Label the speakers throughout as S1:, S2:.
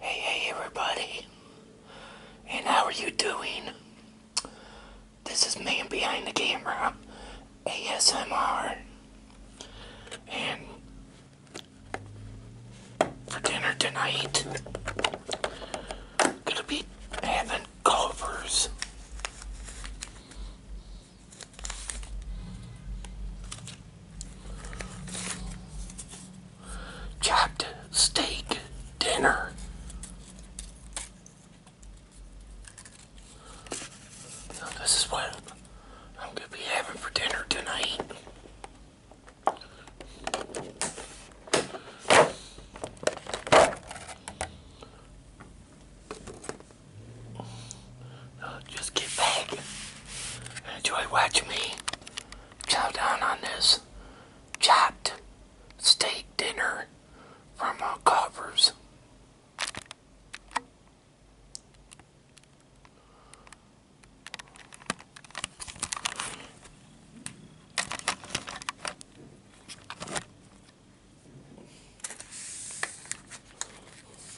S1: Hey, hey, everybody, and how are you doing? This is Man Behind the Camera ASMR, and for dinner tonight, gonna be having covers. Chopped steak dinner. this is what I'm going to be having for dinner tonight just get back and enjoy watching me chow down on this chopped steak dinner from uh, covers.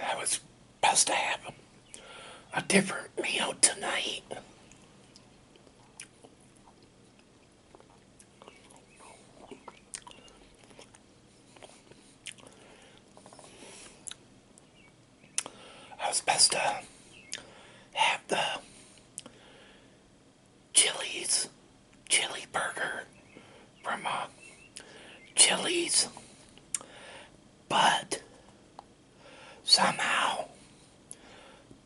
S1: That was supposed to have a different meal tonight. I was supposed to have the Chili's chili burger from uh, Chili's, but somehow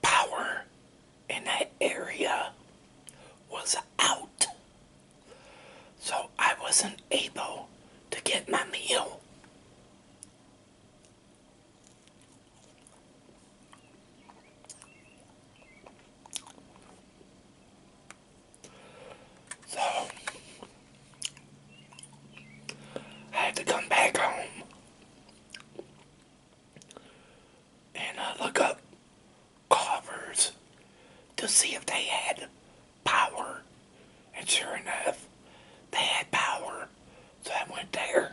S1: power in that area was out so I wasn't able to get my meal. So I had to come back home and uh, look up Carver's to see if they had power. And sure enough, they had power. So I went there.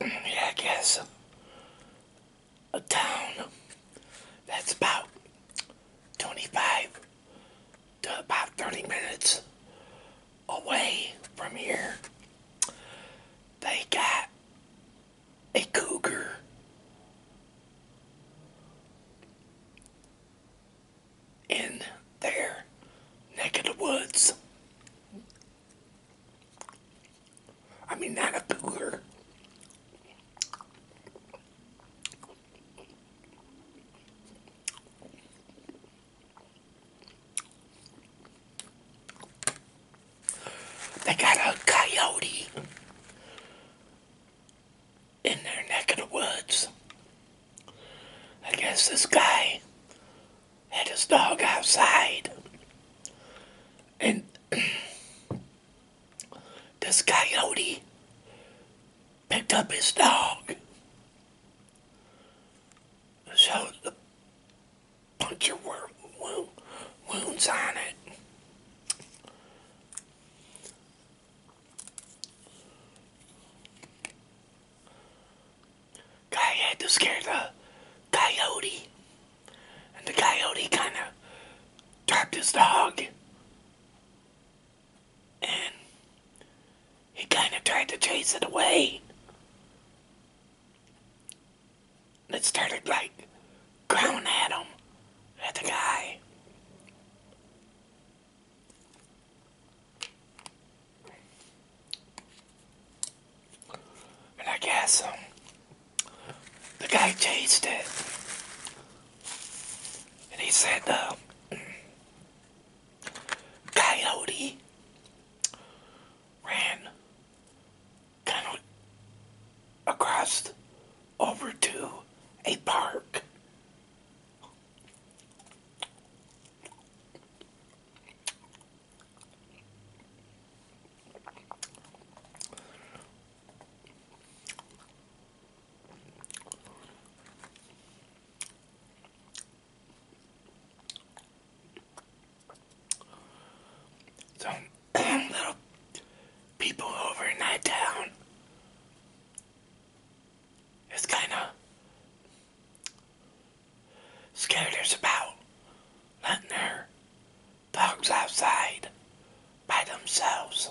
S1: yeah, I guess a town that's about 25 to about 30 minutes away from here, they got a cougar. In there, neck of the woods. I mean, not a cougar. They got a coyote in their neck of the woods. I guess this guy had his dog outside. And this coyote picked up his dog so the puncture worm wound, wounds on it. Guy had to scare the coyote, and the coyote kind of dropped his dog, and he kind of tried to chase it away. And it started like growling at him, at the guy. And I guess um, the guy chased it. And he said, no. Um, Coyote ran kind of across over to a park. Some little people over in that town. It's kind of scared us about letting their dogs outside by themselves.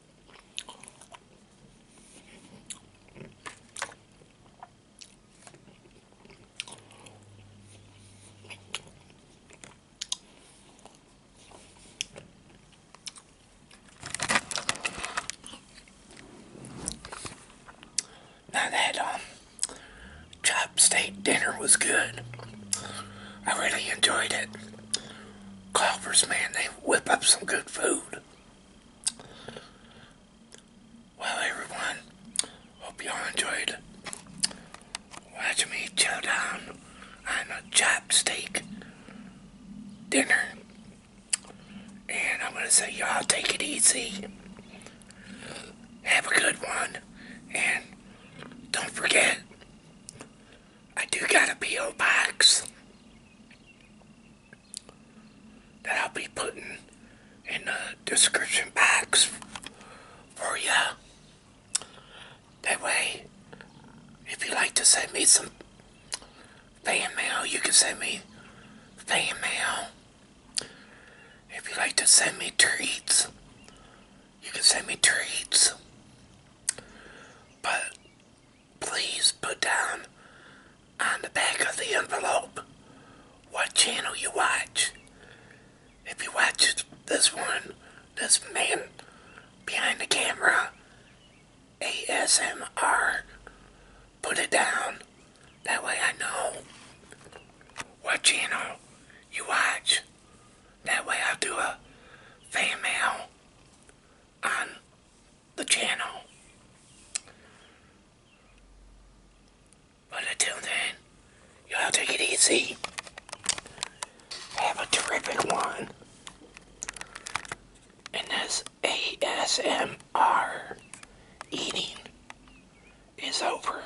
S1: Now that um, chop steak dinner was good. I really enjoyed it. Culver's, man, they whip up some good food. Well, everyone, hope y'all enjoyed watching me chill down I'm a chop steak dinner. And I'm going to say, y'all take it easy. Have a good one. And don't forget, I do got a P.O. box that I'll be putting in the description box for you. That way, if you like to send me some fan mail, you can send me fan mail. If you like to send me treats, you can send me treats. But please put down on the back of the envelope what channel you watch. If you watch this one, this man behind the camera, ASMR, put it down. That way I know what channel you watch. That way I'll do a fan mail on the channel. But until then, y'all take it easy. Have a terrific one. And as ASMR eating is over.